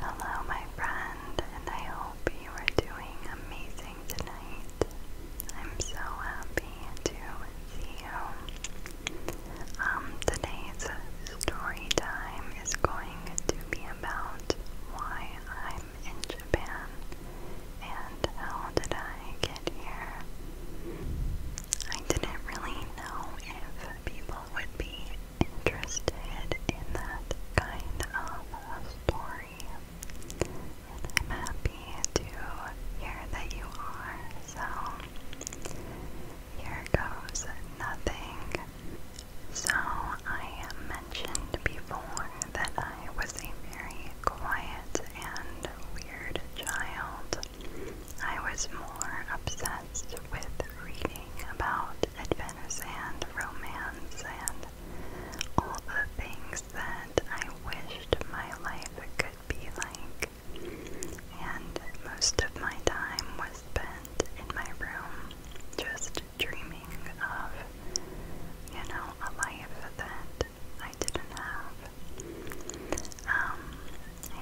Hello, my friend, and I hope you are doing amazing tonight. I'm so happy to see you. Um, today's story time is going to be about why I'm in Japan and how did I get here. I didn't really know if people would be interested in that kind of story. I'm happy to hear that you are, so here goes nothing. So, I mentioned before that I was a very quiet and weird child. I was more obsessed with reading about adventure and romance and all the things that I wished my life could be like. And most of my time was spent in my room just dreaming of, you know, a life that I didn't have. Um,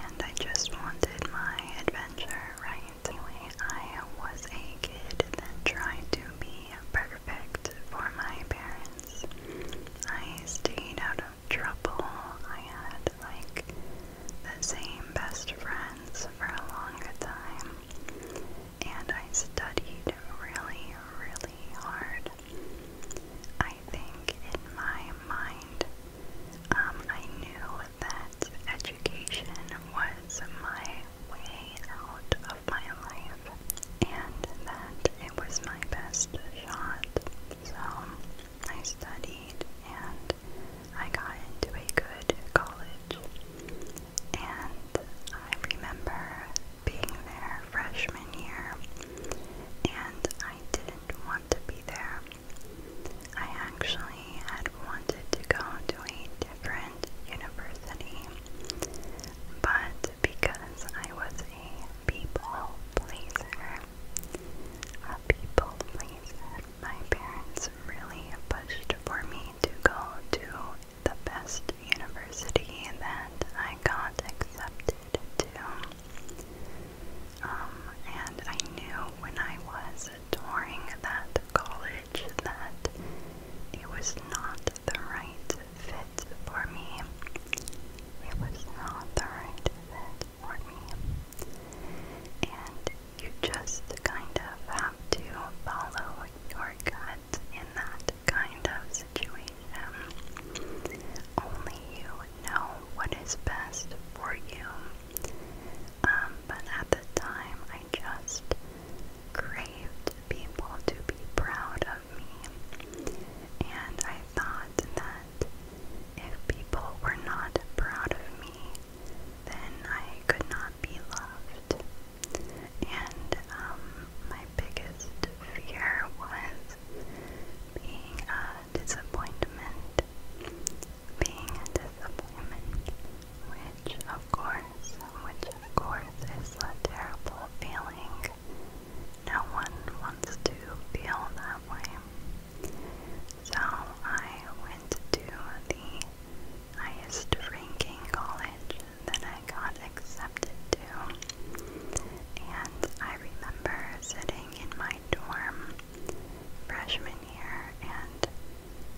and I just wanted my adventure, right? Anyway, I was a kid that tried to be perfect for my parents. I stayed out of trouble. I had like the same best friends for a long time. And I studied really, really hard. I think in my mind um, I knew that education was my way out of my life and that it was my best shot. So I studied and I got into a good college. And I remember being there freshman year and I didn't want to be there. I actually had wanted to go to a different university, but because I was a people pleaser, a people pleaser, my parents really pushed for me to go to the best university that I got accepted to. Um, and I knew when I was touring that college that it was not the right fit for me. It was not the right fit for me. And you just kind of have to follow your gut in that kind of situation. Only you know what is best for you. Um, but at the time, I just craved people to be proud of me. And I thought that if people were not proud of me, then I could not be loved. And um, my biggest fear was being a disappointment being a disappointment, which of course, which of course is a terrible feeling. No one wants to feel that way. So I went to the highest ranking college that I got accepted to. And I remember sitting in my my dorm freshman year, and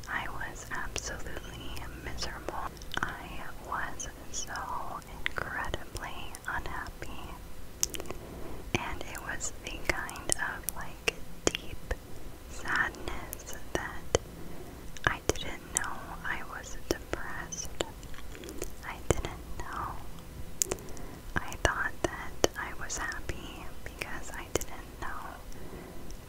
I was absolutely miserable. I was so incredibly unhappy, and it was a kind of like deep sadness that I didn't know I was depressed. I didn't know. I thought that I was happy because I. I didn't know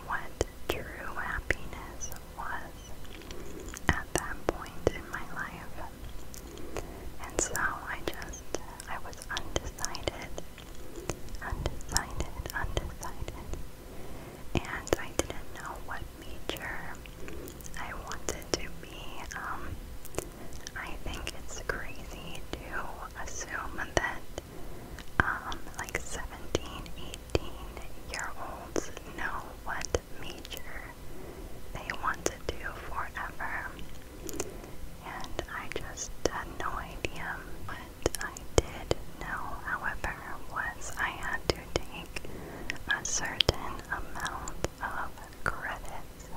what true happiness was at that point in my life. And so I just, I was undecided, undecided, undecided. And I didn't know what major I wanted to be. Um, I think it's crazy to assume that um, like 17, 18 year olds know what major they want to do forever. And I just had no idea. What I did know, however, was I had to take a certain amount of credits.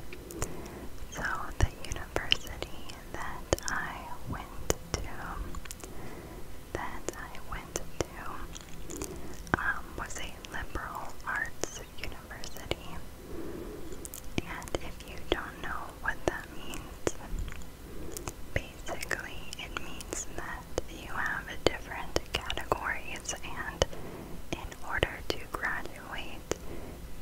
So the university that I went to that I went to um, was a liberal arts university. And if you don't know what that means, basically it means that you have different categories and in order to graduate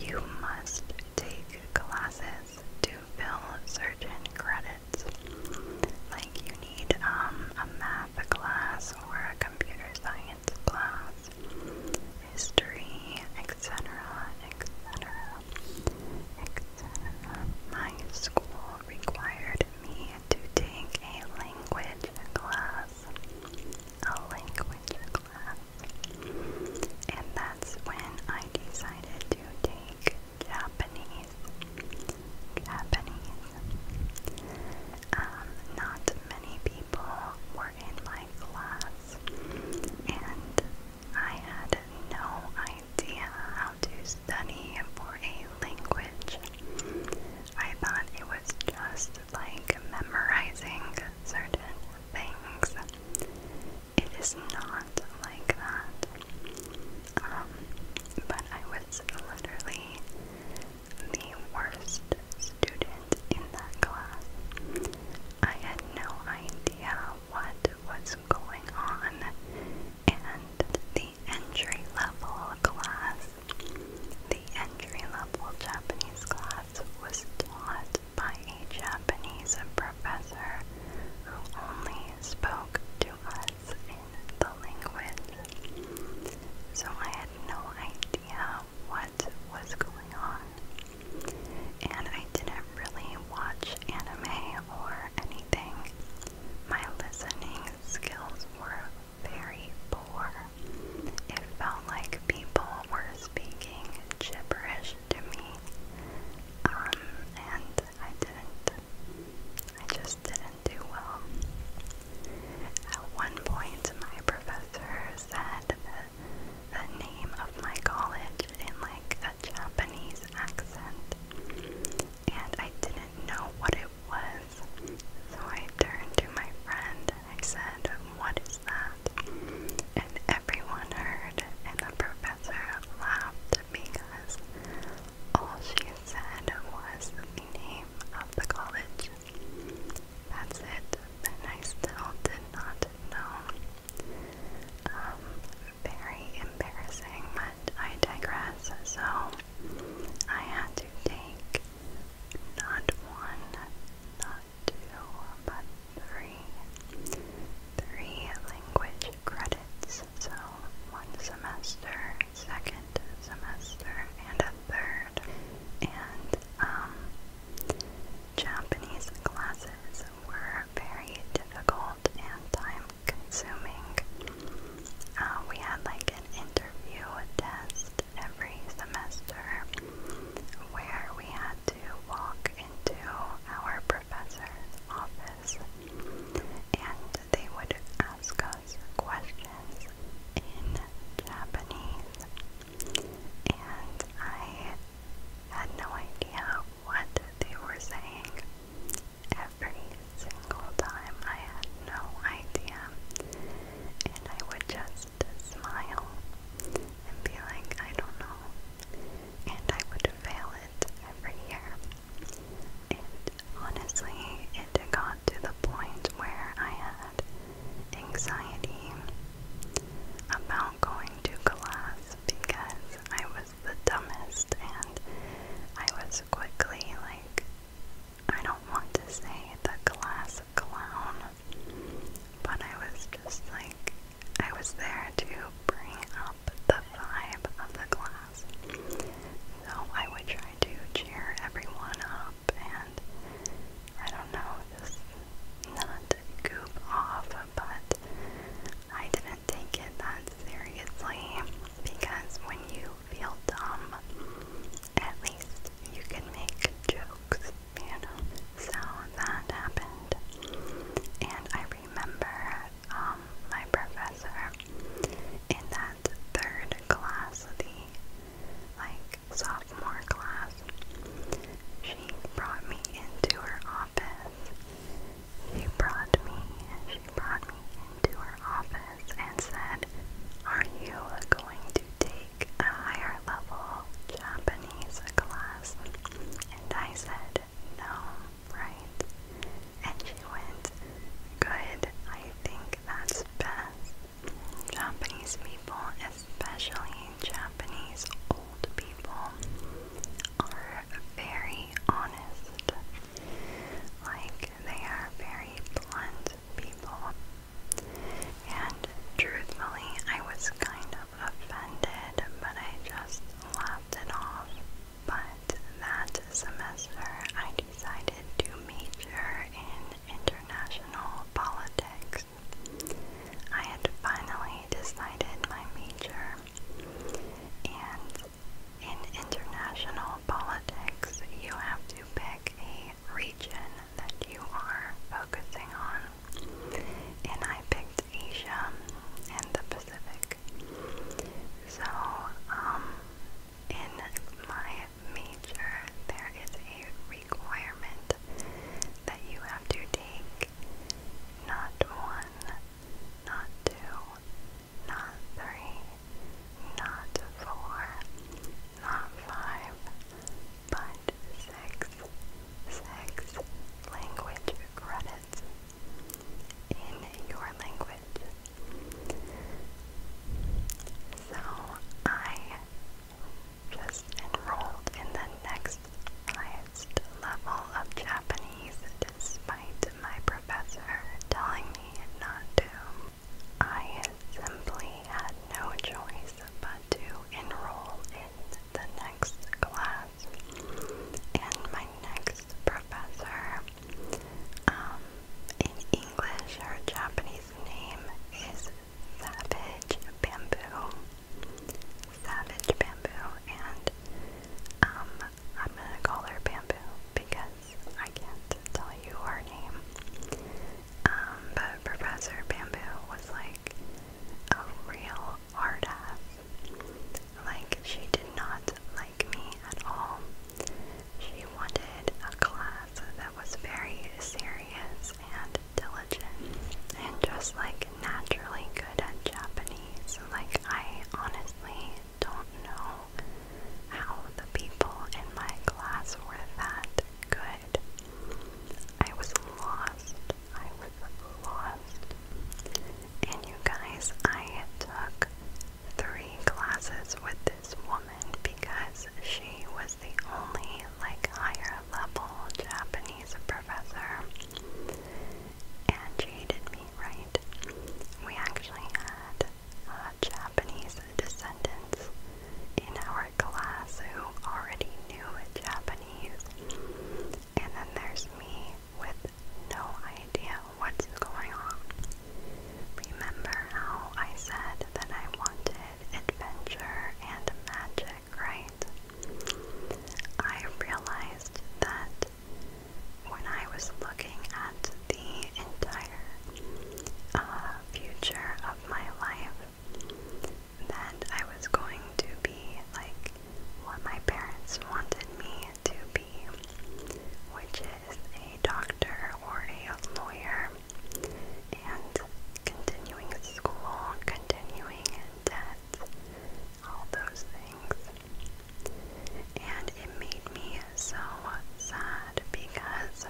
you must take classes to fill certain credits. Like you need um, a math class or a computer science class, history, etc., etc., etc. My school required me to take a language class. A language class. And that's when I decided to take Japanese. Japanese. Um, not many people were in my class, and I had no idea how to study for a language. I thought it was just like memorizing certain things it is not like that. Um, but I was literally the worst student in that class. I had no idea what was going on, and the entry level class, the entry level Japanese class was taught by a Japanese professor who only spoke to us in the language. So I had no idea what was going on. And I didn't really watch anime or anything. My listening skills were very poor. It felt like people were speaking gibberish much to me, um, and I didn't, I just didn't do well. At one point, my professor said the, the name of my college in like a Japanese accent, and I didn't know what it was. So I turned to my friend and I said, what is that? And everyone heard, and the professor laughed because all she said was the name of the college. That's it, and I still did not know. Um, very embarrassing, but I digress, so I had to take not one, not two, but three, three language credits. So one semester, second semester, and a third. And um, Japanese classes were very difficult and time consuming. Uh, we had like an interview test every semester where we had to walk into our professor's office and they would ask us questions in Japanese. And I had no idea what they were saying every single time. I had no idea. And I would just just smile and be like, I don't know. And I would fail it every year. And honestly, it got to the point where I had anxiety about going to class because I was the dumbest and I was quickly like, I don't want to say the class clown, but I was just like I was there to bring up the vibe of the class. So I would try to cheer everyone up and I don't know, just not goof off, but I didn't take it that seriously because when you feel dumb, at least you can make jokes you know. So that happened, and I remember um, my professor in that third class, the like sophomore class. She brought me into her office. She brought me and she brought me into her office and said, "Are you going to take?" a higher level Japanese class? And I said, no, right? And she went, good, I think that's best. Japanese people, especially Japanese old people, are very honest. Like, they are very blunt people. And truthfully, I was kind of offended, but I just laughed it off. But that semester, I decided to major in international politics. I had finally decided my major, and in international politics, you have to pick a region that you are focusing on and I picked Asia and the Pacific. So, um, in my major, there is a requirement that you have to take not one, not two, not three, not four, not five, but sex, sex, language credits in your language. So I just enrolled in the next highest level of Japanese despite my professor telling me not to. I simply had no choice but to enroll the next class, and my next professor um, in English, her Japanese name is Savage Bamboo. Savage Bamboo, and um, I'm gonna call her Bamboo because I can't tell you her name. Um, but Professor Bamboo was like a real hard ass. Like, she did not like me at all. She wanted a class that was very serious and diligent and just like naturally good at Japanese. Like, I honestly don't know how the people in my class were that good I was lost. I was lost. And you guys, I took three classes with this woman because she was the only like higher level Japanese professor. And she dated me right. We actually had uh, Japanese descendants in our class who already knew Japanese, and then there's me with no idea what's going on. Remember how I said that I wanted adventure and magic, right? I realized that when I was looking at the entire uh, future of my life, that I was going to be like what my parents wanted me to be, which is a doctor or a lawyer, and continuing school, continuing debt, all those things. And it made me so sad because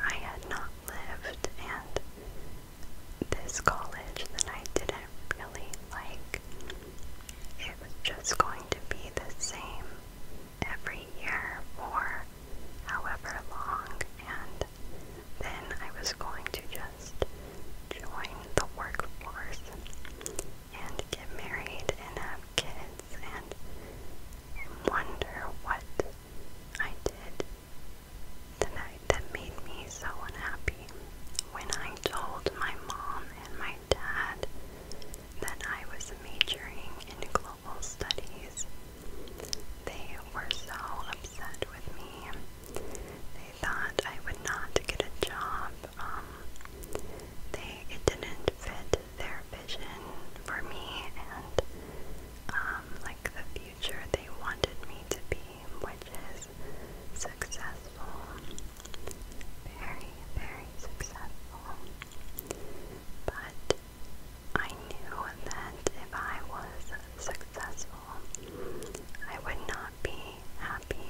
I had not lived and this college that I didn't really like. It was just going to be the same every year for however long, and then I was going to just join the workforce and get married and have kids and, and wonder what I did the night that made me so unhappy when I told my mom and my dad that I was majoring in global studies. They were so upset with me. They thought I would not get a job. Um, they it didn't fit their vision for me, and um, like the future they wanted me to be, which is successful. Very, very successful. But I knew that if I was successful, I would not be happy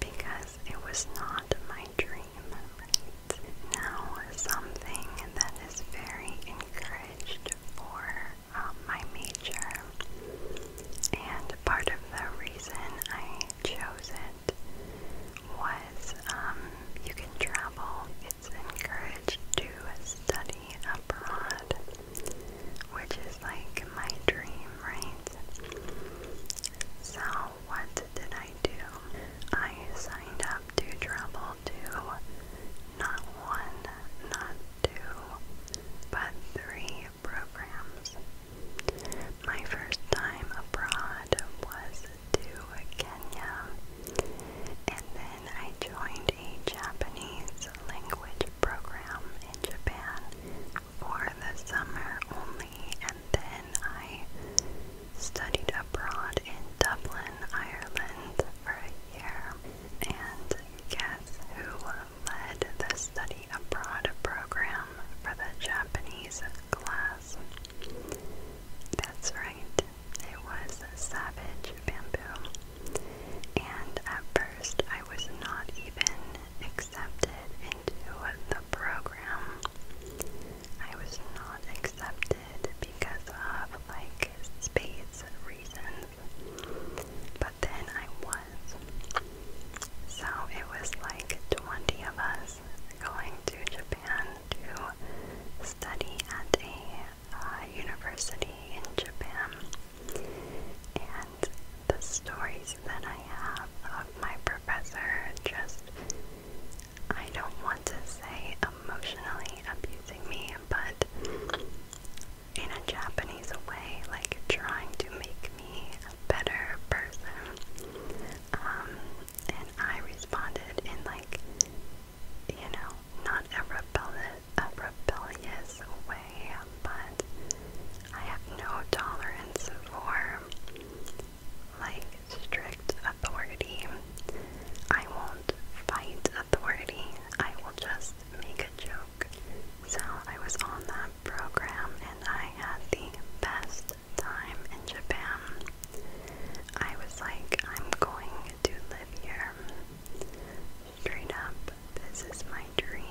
because it was not my dream. Right? Now, something that is very encouraged for um, my major, and part of the reason I chose it was um, you can travel. It's encouraged to study abroad, which is like my dream, right? So, what did I do? I signed up to travel to not one, not two, but three programs. My first time abroad was to Kenya, and then I joined a Japanese language program in Japan for the summer only, and then I studied abroad in Dublin, Ireland for a year. And guess who led the study abroad program for the Japanese class? That's right, it was Savage Bamboo. And at first, I was not even accepted into the program. I was not accepted did because of like space reasons, but then I was. So it was like 20 of us going to Japan to study at a uh, university in Japan. And the stories that I have of my professor just, I don't want to say emotionally abusing me, but in a Japanese way, like trying to make me a better person. Um, and I responded in like, you know, not a, rebelli a rebellious way, but I have no tolerance for like strict authority. I won't fight authority. I will just make a joke. So I was on that program and I had the best time in Japan. I was like, I'm going to live here. Straight up, this is my dream.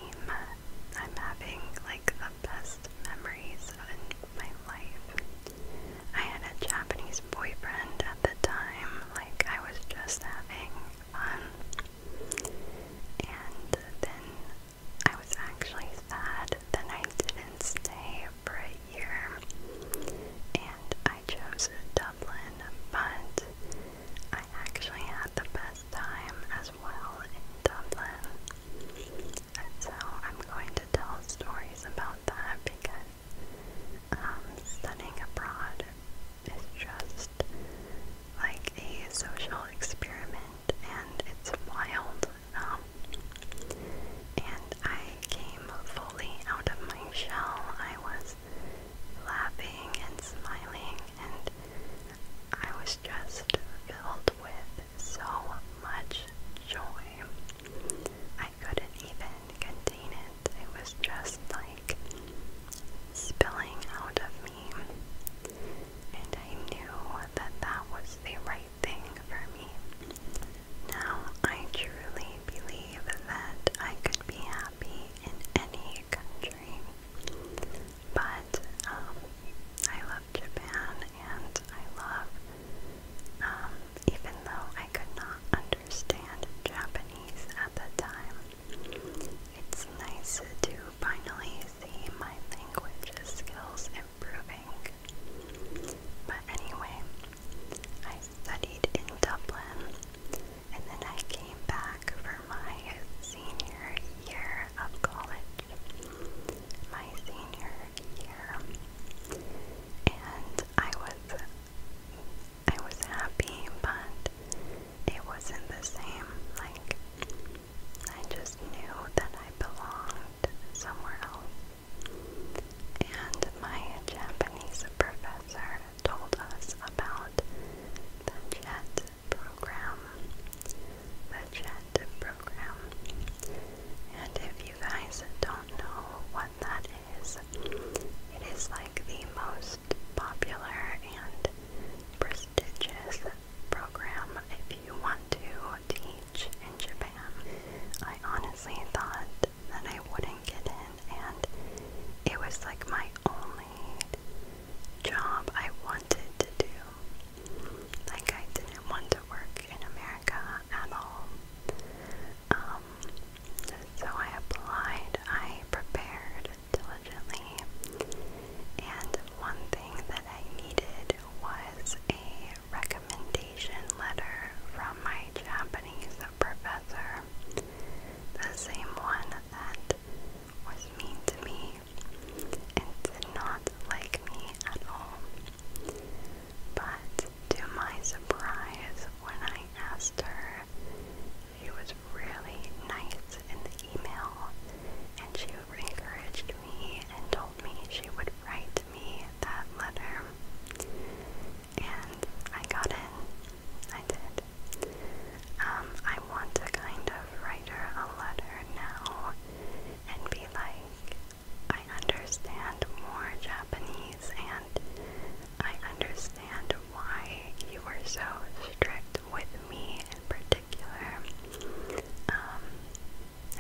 I'm having like the best memories in my life. I had a Japanese boyfriend at the time, like I was just having fun. And then I was actually sad that I didn't stay for a year. And I chose Dublin, but I actually had the best time as well in Dublin. And so I'm going to tell stories about that because um, studying abroad is just like a social experiment and it's wild. Um, and I came fully out of my shell. I was laughing and smiling, and I was just filled with so much joy. I couldn't even contain it. It was just like spilling out of me. And I knew that that was the right thing for me. Now I truly believe that I could be happy in any country. But um, I love Japan and I love, um, even though I could not understand Japanese at the time. It's nice to finally see my language skills improving. But anyway, I studied in Dublin and then I came back for my senior year of college. My senior year, and I was I was happy, but it wasn't the same. Like, I just knew that I belonged somewhere else. And my Japanese professor told us about the JET program. The JET program. And if you guys don't don't know what that is. It is like the most popular and prestigious program if you want to teach in Japan. I honestly thought that I wouldn't get in and it was like my only job I wanted to do. Like I didn't want to work in America at all. Um, so I applied, I prepared diligently, and one thing that I needed was a recommendation letter from my Japanese professor, the same one that was mean to me and did not like me at all. But to my surprise, when I asked her, she was really nice in the email and she encouraged me and told me she would write me that letter. And I got in. I did. Um, I want to kind of write her a letter now and be like, I understand more Japanese and I understand why you were so strict with me in particular. Um,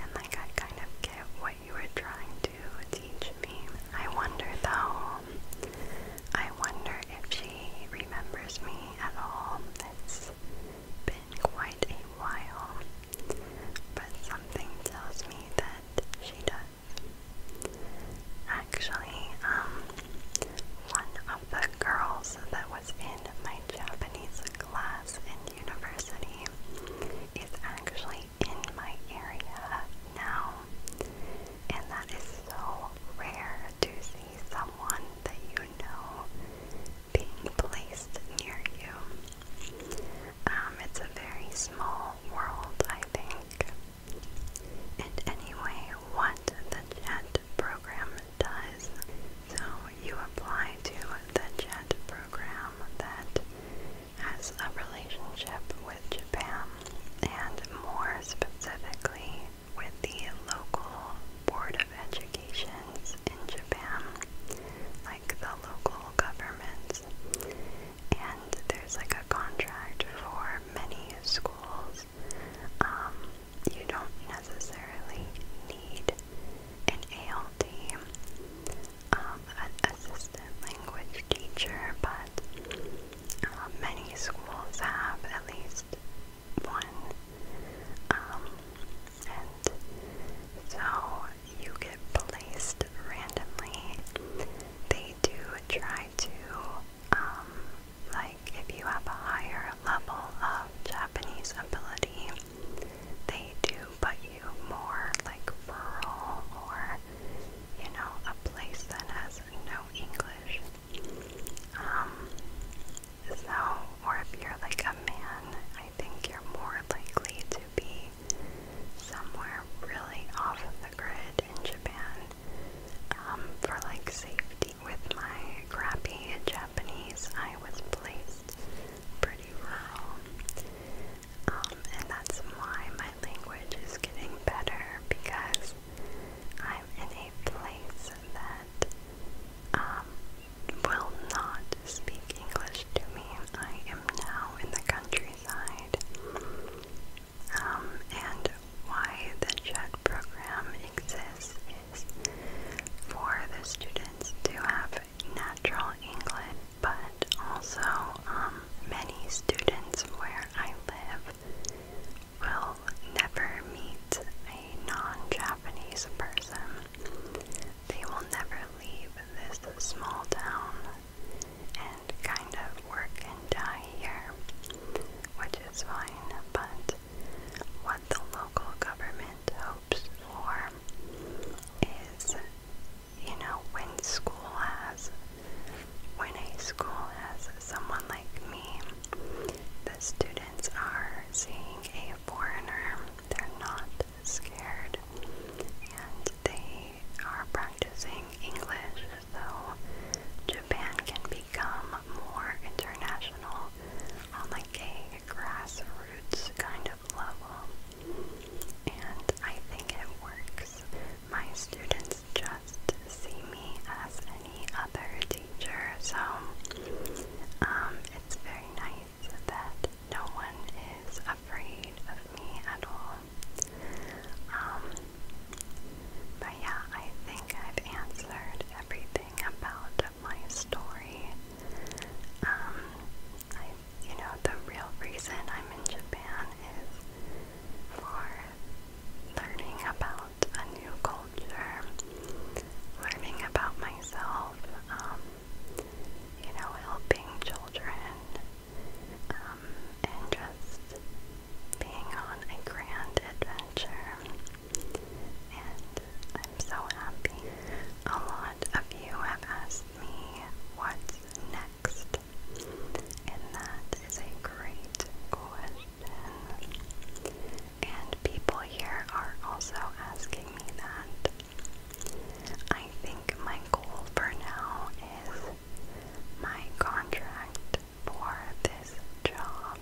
and like I kind of get what you were trying to teach me. I wonder though, I wonder if she remembers me at all. It's been quite a while, but something tells me that she does. Actually, um, one of the girls that was in my Japanese class in university is actually in my area now, and that is so rare to see someone that you know being placed near you. Um, it's a very small world, I think. And anyway, what the JET program does, so you apply to the JET program that has a relationship with Japan, and more specifically with the local Board of Educations in Japan, like the local government and there's like a contract for many schools. Um, you don't necessarily need an ALT um, an assistant language teacher, but uh, many schools have at least one. Um, and so you get placed randomly, they do try to, um, like if you have a higher level of Japanese ability, they do put you more like rural or, you know, a place that has no English. Um, so, or if you're like a man, I think you're more likely to be somewhere really off of the grid in Japan um, for like safety. With my crappy Japanese, I was placed pretty rural. Um, and that's why my language is getting better because I'm in a place that um, will not speak English to me. I am now in the country um, and why the JET program exists is for the students to have natural English, but also um, many students where I live will never meet a non-Japanese person. They will never leave this small town and kind of work and die here, which is fine, but what the local government hopes for is, you know, when school has, when a school has someone like me, the students are seeing a foreigner, they're not scared, and they are practicing English, so Japan can become more international on like a grassroots kind of level. And I think it works. My students just see me as any other teacher, so um, it's very nice that no one is afraid of me at all. Um, but yeah, I think I've answered everything about my story. Um, you know, the real reason I'm in Japan is for learning about a new culture, learning about myself, um, you know, helping children um, and just being on a grand adventure. And I'm so happy. A lot of you have asked me what's next, and that is a great question. And people here are also asking me that. I think my goal for now is my contract for this job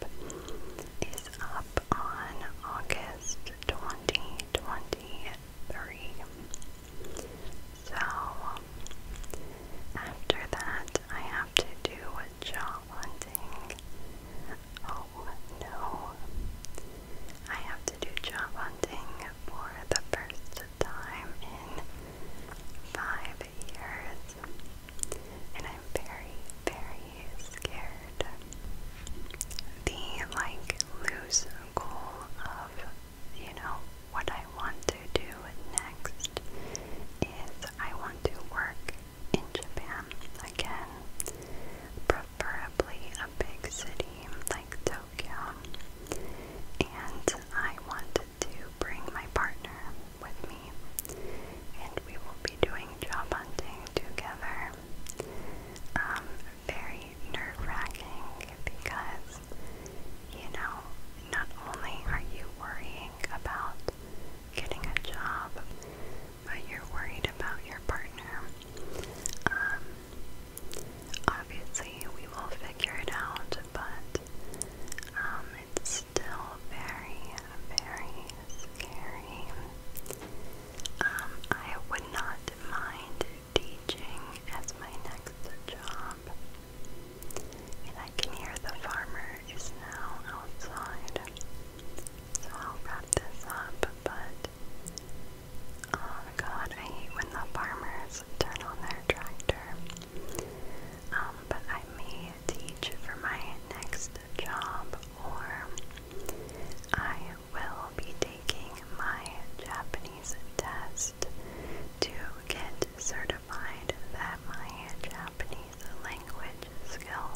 is up on August 2023. So after that, I have to do job hunting. Oh no. I have to do job hunting for the first time in five years, and I'm very, very scared. The like loose goal of you know what I want to do next is I want to work in Japan again, preferably a big city like Tokyo gown, and I wanted to bring my partner with me, and we will be doing job hunting together. Um, very nerve wracking because, you know, not only are you worrying about getting a job, but you're worried about your partner. Um, Obviously, we will figure it out, but um, it's still very, very scary. Um, I would not mind teaching as my next job. And I can hear the farmer is now outside. So I'll wrap this up, but Oh god, I hate when the farmers turn on their tractor. Um, but I may teach for my next job, or I will be taking my Japanese test to get certified that my Japanese language skill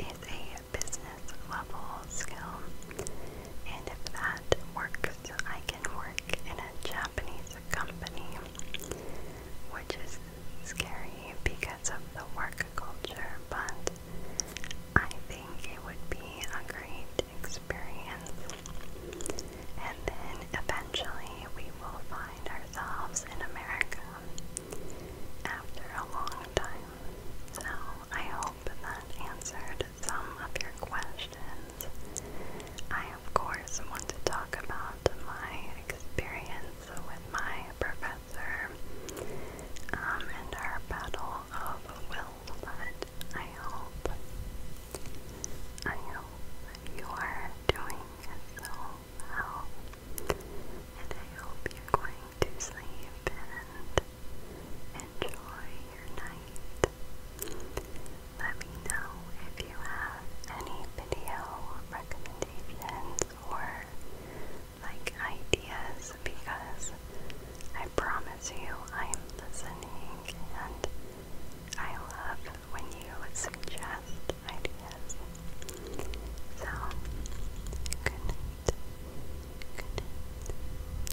is a business level skill and if that works, I can work in a Japanese company, which is scary because of the work culture, but I think it would be a great experience. And then eventually we will find ourselves in America after a long time. So I hope hope that answered some of your questions. I, of course, want to talk about my experience with my professor um, and our battle of wills, but I hope, I hope you are doing so well. And I hope you're going to sleep and enjoy your night. Let me know if you have any video recommendations or like ideas because I promise you I am listening and I love when you suggest ideas. So, good night. Good night.